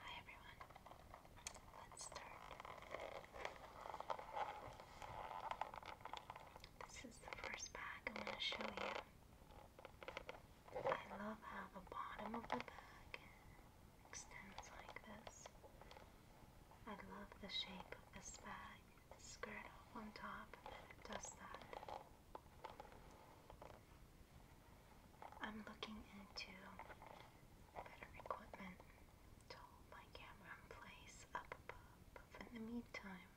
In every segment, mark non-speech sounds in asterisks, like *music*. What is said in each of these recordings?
Hi everyone. Let's start. This is the first bag I'm going to show you. I love how the bottom of the bag extends like this. I love the shape of this bag. The skirt off on top, does that. I'm looking into better equipment to my camera place up above. But in the meantime,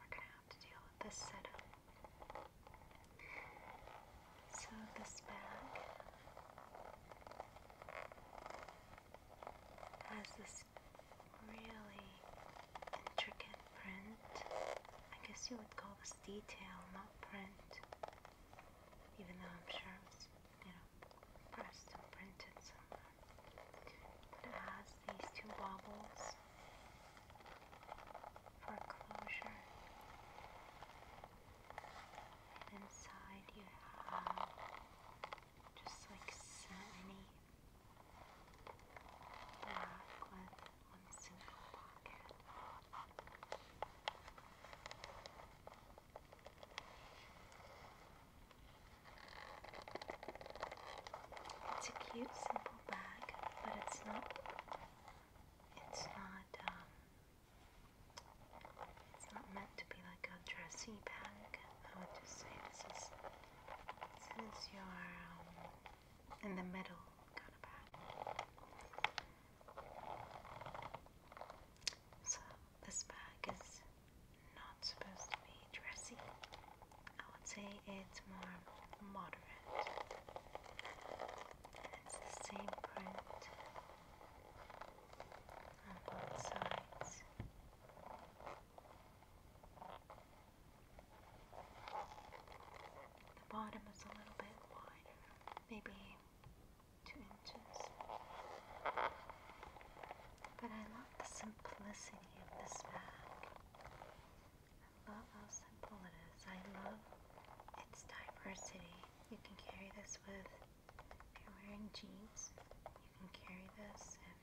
we're gonna have to deal with this setup. So this bag has this really intricate print. I guess you would call this is detail, not print. Even though I'm sure it was, you know, pressed and printed somewhere. it has these two wobbles for closure. inside you have just like so many it's a cute, simple bag, but it's not. It's not. Um, it's not meant to be like a dressy bag. I would just say this is. This is your um, in the middle so this bag is not supposed to be dressy. I would say it's more moderate. It's the same print on both sides. The bottom is a little bit wider, maybe two inches. But I love the simplicity of this bag. I love how simple it is. I love its diversity. You can carry this with, if you're wearing jeans, you can carry this if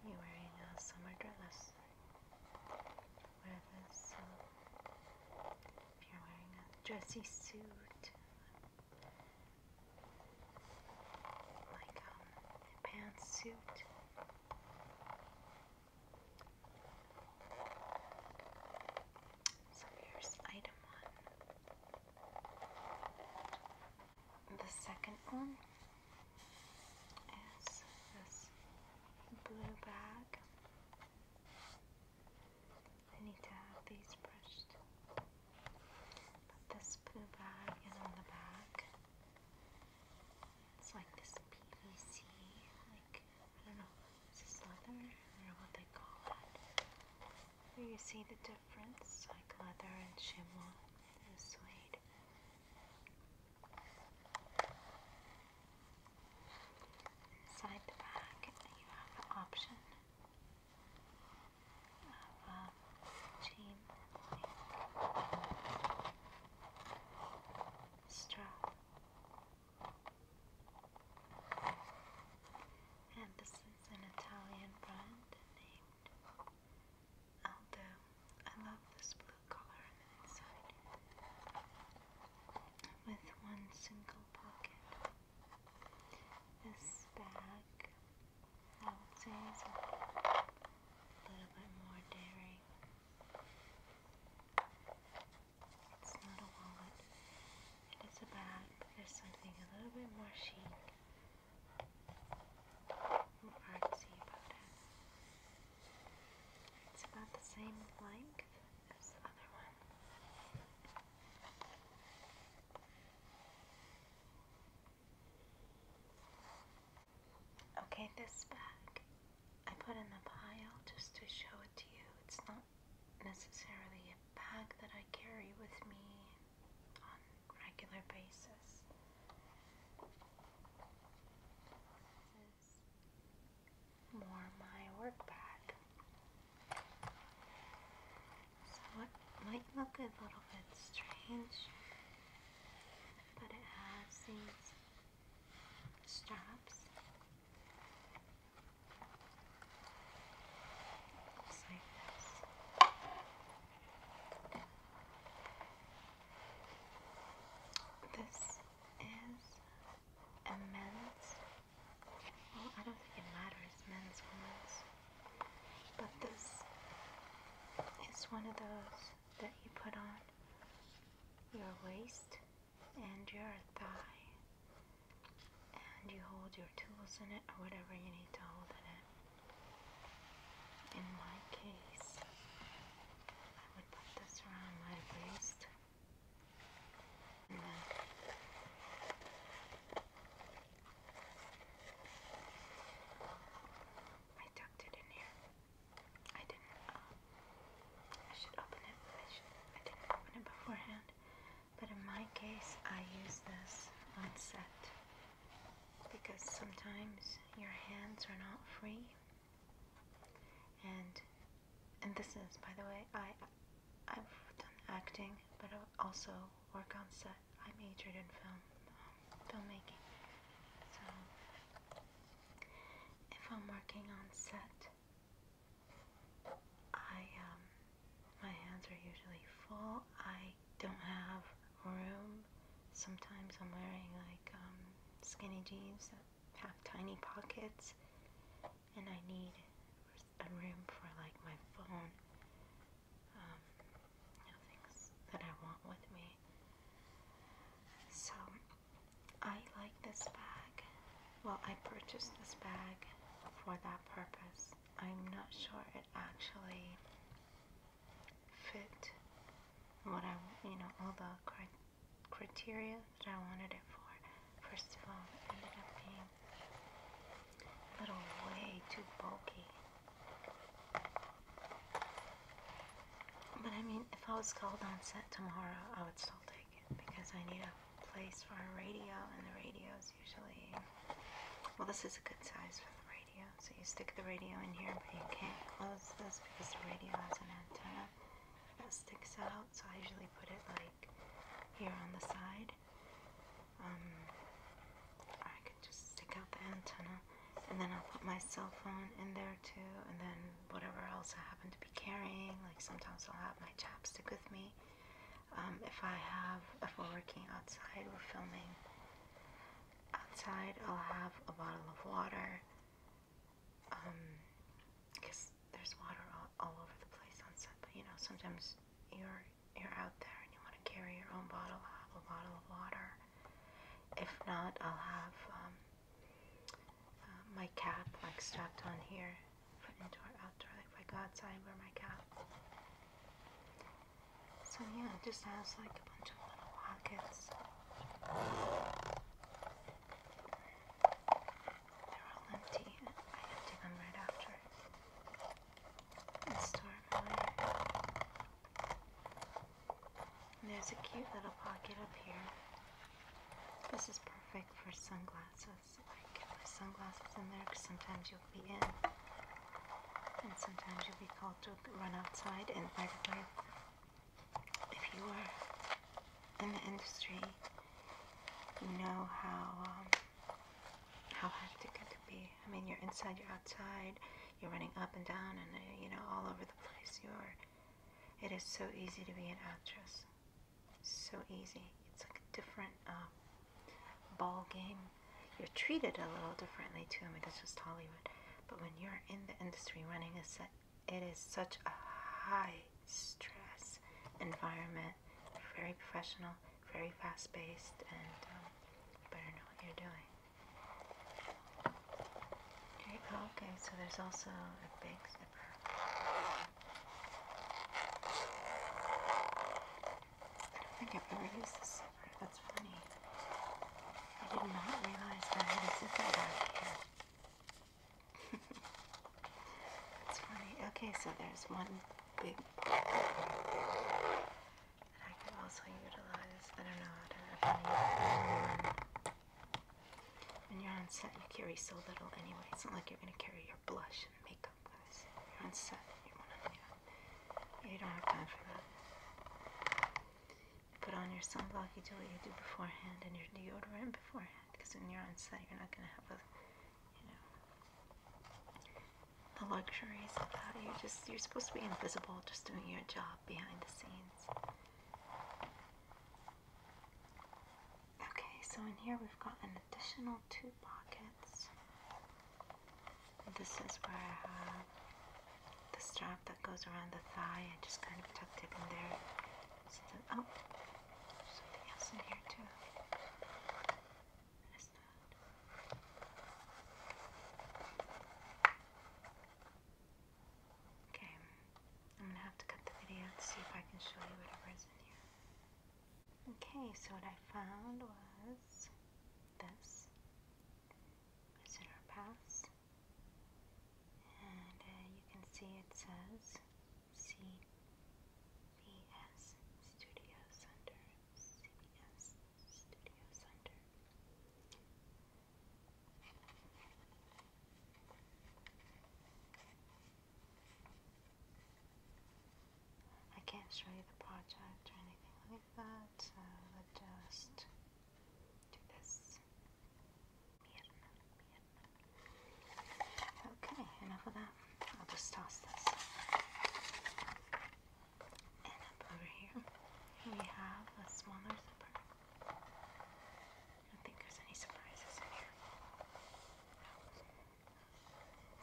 you're wearing a summer dress wear this. if you're wearing a dressy suit, like um, a pantsuit, so here's item one. The second one is this blue bag. I need to have these brushed. But this blue bag is on the back. It's like this PVC, like, I don't know, is this leather? I don't know what they call it. Here you see the difference, like leather and chamois and suede. Inside the bag, you have the option of um, chain strap, and this is an Italian brand named Although um, I love this blue color on the inside, with one single pocket. This bag, I would say, is a little bit more daring. It's not a wallet, it is a bag, but there's something a little bit more chic. More artsy about it. It's about the same length as the other one. Okay, this bag I put in the pile just to show it to you. It's not necessarily a bag that I carry with me on regular basis. This is more my work bag. So what might look a little bit strange, but it has these straps. Looks this is a Well, I don't think it matters, men's, women's. But this is one of those that you put on your waist and your thigh. And you hold your tools in it or whatever you need to hold in it. In my case, I put this around my waist. And then I tucked it in here. I didn't, um, I should open it, I didn't open it beforehand, but in my case, I use this on set because sometimes your hands are not free and and this is, by the way, I I've done acting, but I also work on set. I majored in film um, filmmaking, so if I'm working on set, I um my hands are usually full. I don't have room sometimes I'm wearing like um, skinny jeans that have tiny pockets, and I need a room for like my phone, um, things that I want with me. So I like this bag. Well, I purchased this bag for that purpose. I'm not sure it actually fit what I, you know, all the criteria that I wanted it for. First of all, it ended up being a little way too bulky. But I mean, if I was called on set tomorrow, I would still take it because I need a place for a radio, and the radio is usually well. This is a good size for the radio, so you stick the radio in here, but you can't close this because the radio has an antenna that sticks out. So I usually put it like here on the side. Um, I can just stick out the antenna, and then I'll put my cell phone in there too, and then whatever else I happen to be carrying. Like sometimes I'll have my chapstick with me. Um, if I have, if we're working outside, we're filming outside I'll have a bottle of water because um, there's water all, over the place on set but you know sometimes you're you're out there and you want to carry your own bottle I'll have a bottle of water if not I'll have um, uh, my cap like strapped on here put into our outdoor like if I go outside wear my cap so yeah, it just has like a bunch of little pockets. They're all empty. I empty them right after and store them there's a cute little pocket up here. This is perfect for sunglasses. I get my sunglasses in there because sometimes you'll be in and sometimes you'll be called to run outside. And by the way, if you were in the industry, you know how um, how hectic it could be. I mean, you're inside, you're outside, you're running up and down, and uh, you know all over the place. You're. It is so easy to be an actress. So easy. It's like a different um, ball game. You're treated a little differently too. I mean, that's just Hollywood. But when you're in the industry running a set, it is such a high stress environment, very professional, very fast paced, and um, you better know what you're doing. Okay, oh, okay, so there's also a big zipper. I think I've ever used this zipper, that's funny. I did not realize that I had a zipper back here. *laughs* it's funny. Okay, so there's one big pocket. And I can also utilize, I don't know how to if When you're on set, you carry so little anyway. It's not like you're going to carry your blush and makeup guys. You're on set. You, you, know, you don't have time for that put on your sunblock, you do what you do beforehand, and your deodorant beforehand, because when you're on set, you're not going to have a, you know, the luxuries of that. You're just, you're supposed to be invisible, just doing your job behind the scenes. Okay, so in here we've got an additional two pockets. This is where I uh, have the strap that goes around the thigh. I just kind of tucked it in there. oh, something else in here too. Okay, I'm gonna have to cut the video to see if I can show you whatever in here. Okay, so what I found was this is in And uh, you can see it says CBS Studios under CBS Studios under. I can't show you the project or anything like that, uh, but Okay, enough of that. I'll just toss this. And over here, we have a smaller zipper. I don't think there's any surprises in here.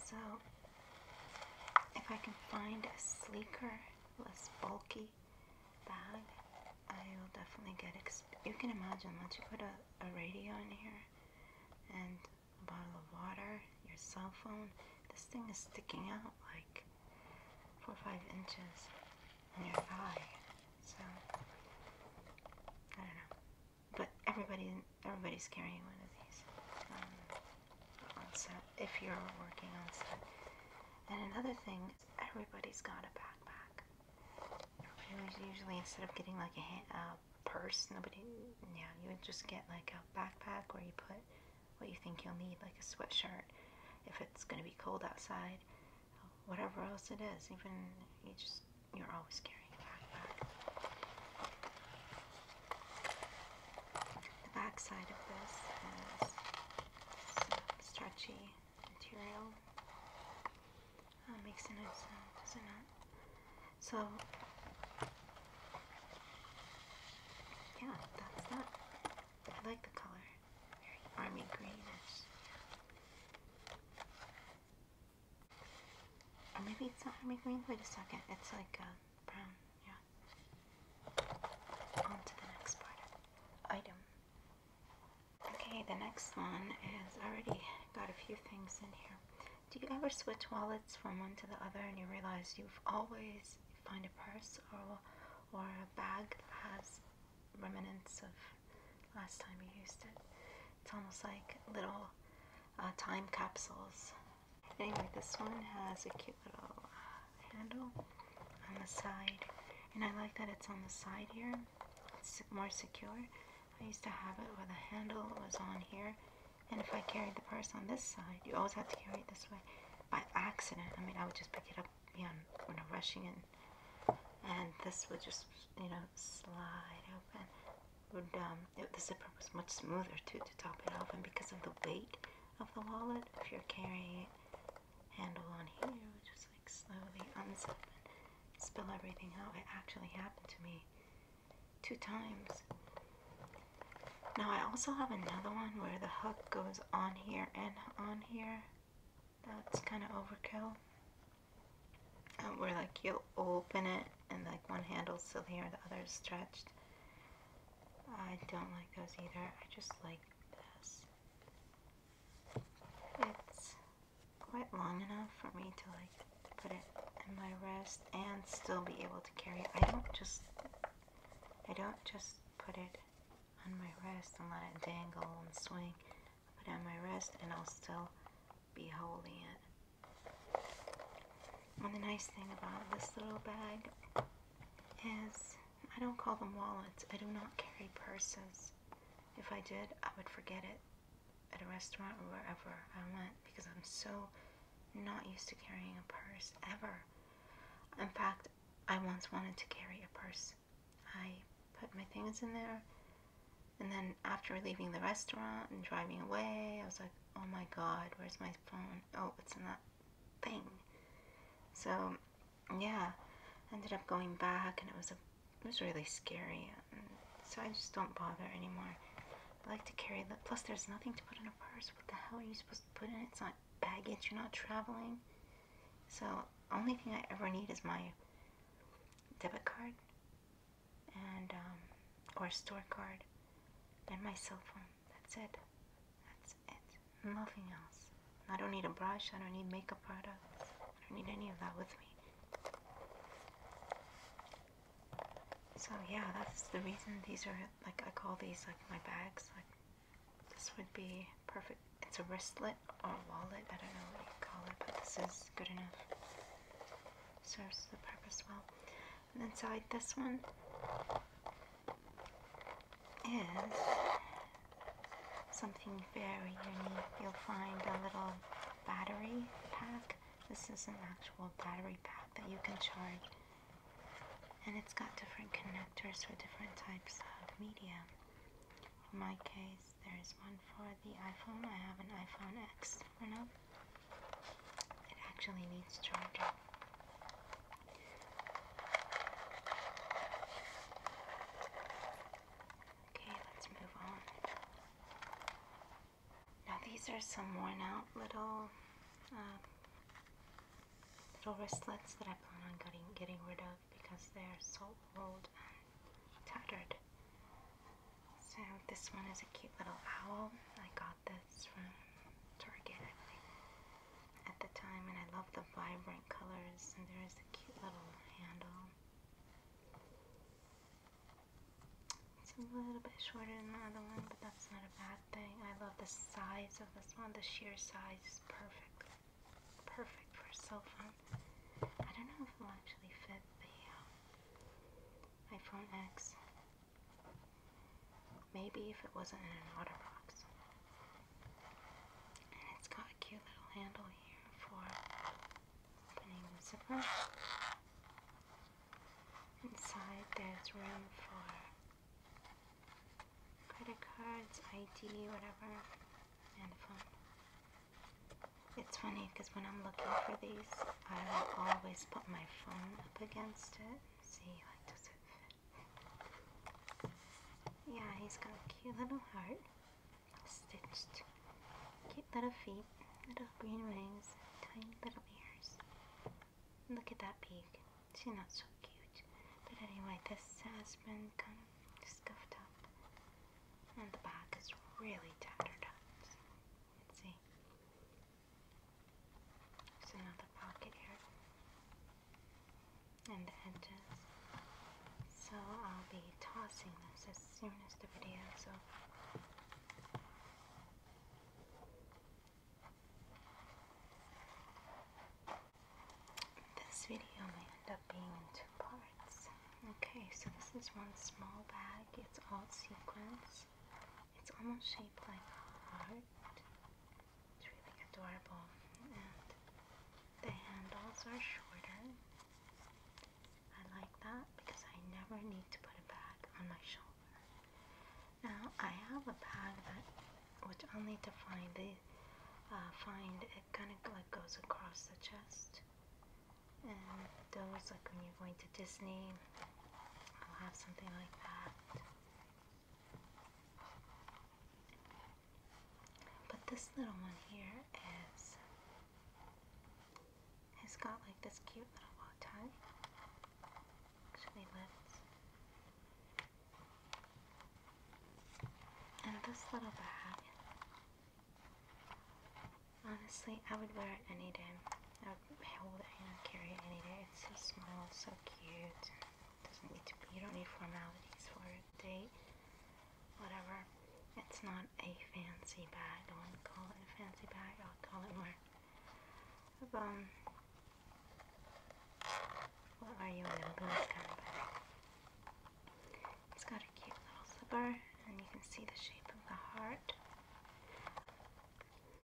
So, if I can find a sleeker, less bulky bag, I will definitely get. You can imagine once you put a, radio in here and a bottle of water, your cell phone, this thing is sticking out like four or five inches in your thigh. So, I don't know. But everybody, everybody's carrying one of these. Um, on set if you're working on set. And another thing is everybody's got a backpack. Everybody's usually instead of getting like a, a purse, nobody, yeah, you would just get like a backpack where you put what you think you'll need, like a sweatshirt if it's going to be cold outside, whatever else it is. Even you just you're always carrying a backpack. The back side of this has stretchy material. Uh, makes a nice sound, does So, yeah, that's that. I like the color. Very army greenish. maybe it's not army green. Wait a second. It's like a uh, brown. Yeah. On the next part item. Okay, the next one has already got a few things in here. Do you ever switch wallets from one to the other and you realize you've always find a purse or, or a bag has remnants of last time you used it? It's almost like little uh, time capsules Anyway, this one has a cute little handle on the side. And I like that it's on the side here. It's more secure. I used to have it where the handle was on here. And if I carried the purse on this side, you always had to carry it this way. By accident, I mean, I would just pick it up you know, when I'm rushing And this would just, you know, slide open. Would, um, the zipper was much smoother too to top it off. And because of the weight of the wallet. If you're carrying handle on here, just like slowly unzip and spill everything out. It actually happened to me two times. Now I also have another one where the hook goes on here and on here. That's kind of overkill. Uh, where like you open it and like one handle's still here, the other's stretched. I don't like those either. I just like this. It's quite long enough for me to like put it in my wrist and still be able to carry it. I don't just I don't just put it on my wrist and let it dangle and swing. I put it on my wrist and I'll still be holding it. And the nice thing about this little bag is I don't call them wallets. I do not carry purses. If I did, I would forget it at a restaurant or wherever I went because I'm so not used to carrying a purse ever. In fact, I once wanted to carry a purse. I put my things in there, and then after leaving the restaurant and driving away, I was like, oh my god, where's my phone? Oh, it's in that thing. So, yeah, ended up going back, and it was a, it was really scary. So I just don't bother anymore. I like to carry the. Plus, there's nothing to put in a purse. What the hell are you supposed to put in? It's not baggage. You're not traveling. So, only thing I ever need is my debit card and um, or store card, and my cell phone. That's it. That's it. Nothing else. I don't need a brush. I don't need makeup products. I don't need any of that with me. So yeah, that's the reason these are like I call these like my bags. Like this would be perfect. It's a wristlet or a wallet. I don't know what you call it, but this is good enough. Serves the purpose well. And inside this one, is something very unique. You'll find a little battery pack. This is an actual battery pack that you can charge. And it's got different connectors for different types of media. In my case, there's one for the iPhone. I have an iPhone X for now. It actually needs charging. Okay, let's move on. Now these are some worn out little uh, little wristlets that I plan on getting getting rid of because they're so old and tattered. So this one is a cute little owl I got that's from Target, I at the time, and I love the vibrant colors, and there is a cute little handle. It's a little bit shorter than the other one, but that's not a bad thing. I love the size of this one. The sheer size is perfect. Perfect for a cell phone. I don't know if it'll actually fit the uh, iPhone X Maybe if it wasn't in an otter box. And it's got a cute little handle here for opening the zipper. Inside there's room for credit cards, ID, whatever, and phone. It's funny because when I'm looking for these, I will always put my phone up against it See Yeah, he's got a cute little heart stitched. Cute little feet, little green wings, tiny little ears. Look at that beak. She's not so cute. But anyway, this has been kind of scuffed up. And the back is really tattered up. You see. There's another pocket here. And the edges. So I'll be tossing this as soon as the video is This video may end up being in two parts. Okay, so this is one small bag. It's all sequins. It's almost shaped like a heart. It's really adorable. And the handles are shorter. I like that because I never need to put a bag on my shoulder. Now I have a bag that, which I'll need to find. They uh, find it kind of like goes across the chest. And those like when you're going to Disney, I'll have something like that. But this little one here is, has got like this cute little bow tie. Actually, let And this little bag. Honestly, I would wear it any day. I'll hold it and carry it any day. It's so small, so cute. Doesn't need to You don't need formalities for a date. Whatever. It's not a fancy bag. I wouldn't call it a fancy bag. I'll call it more of um. What are you in this kind of bag? It's got a cute little zipper, and you can see the shape of the heart.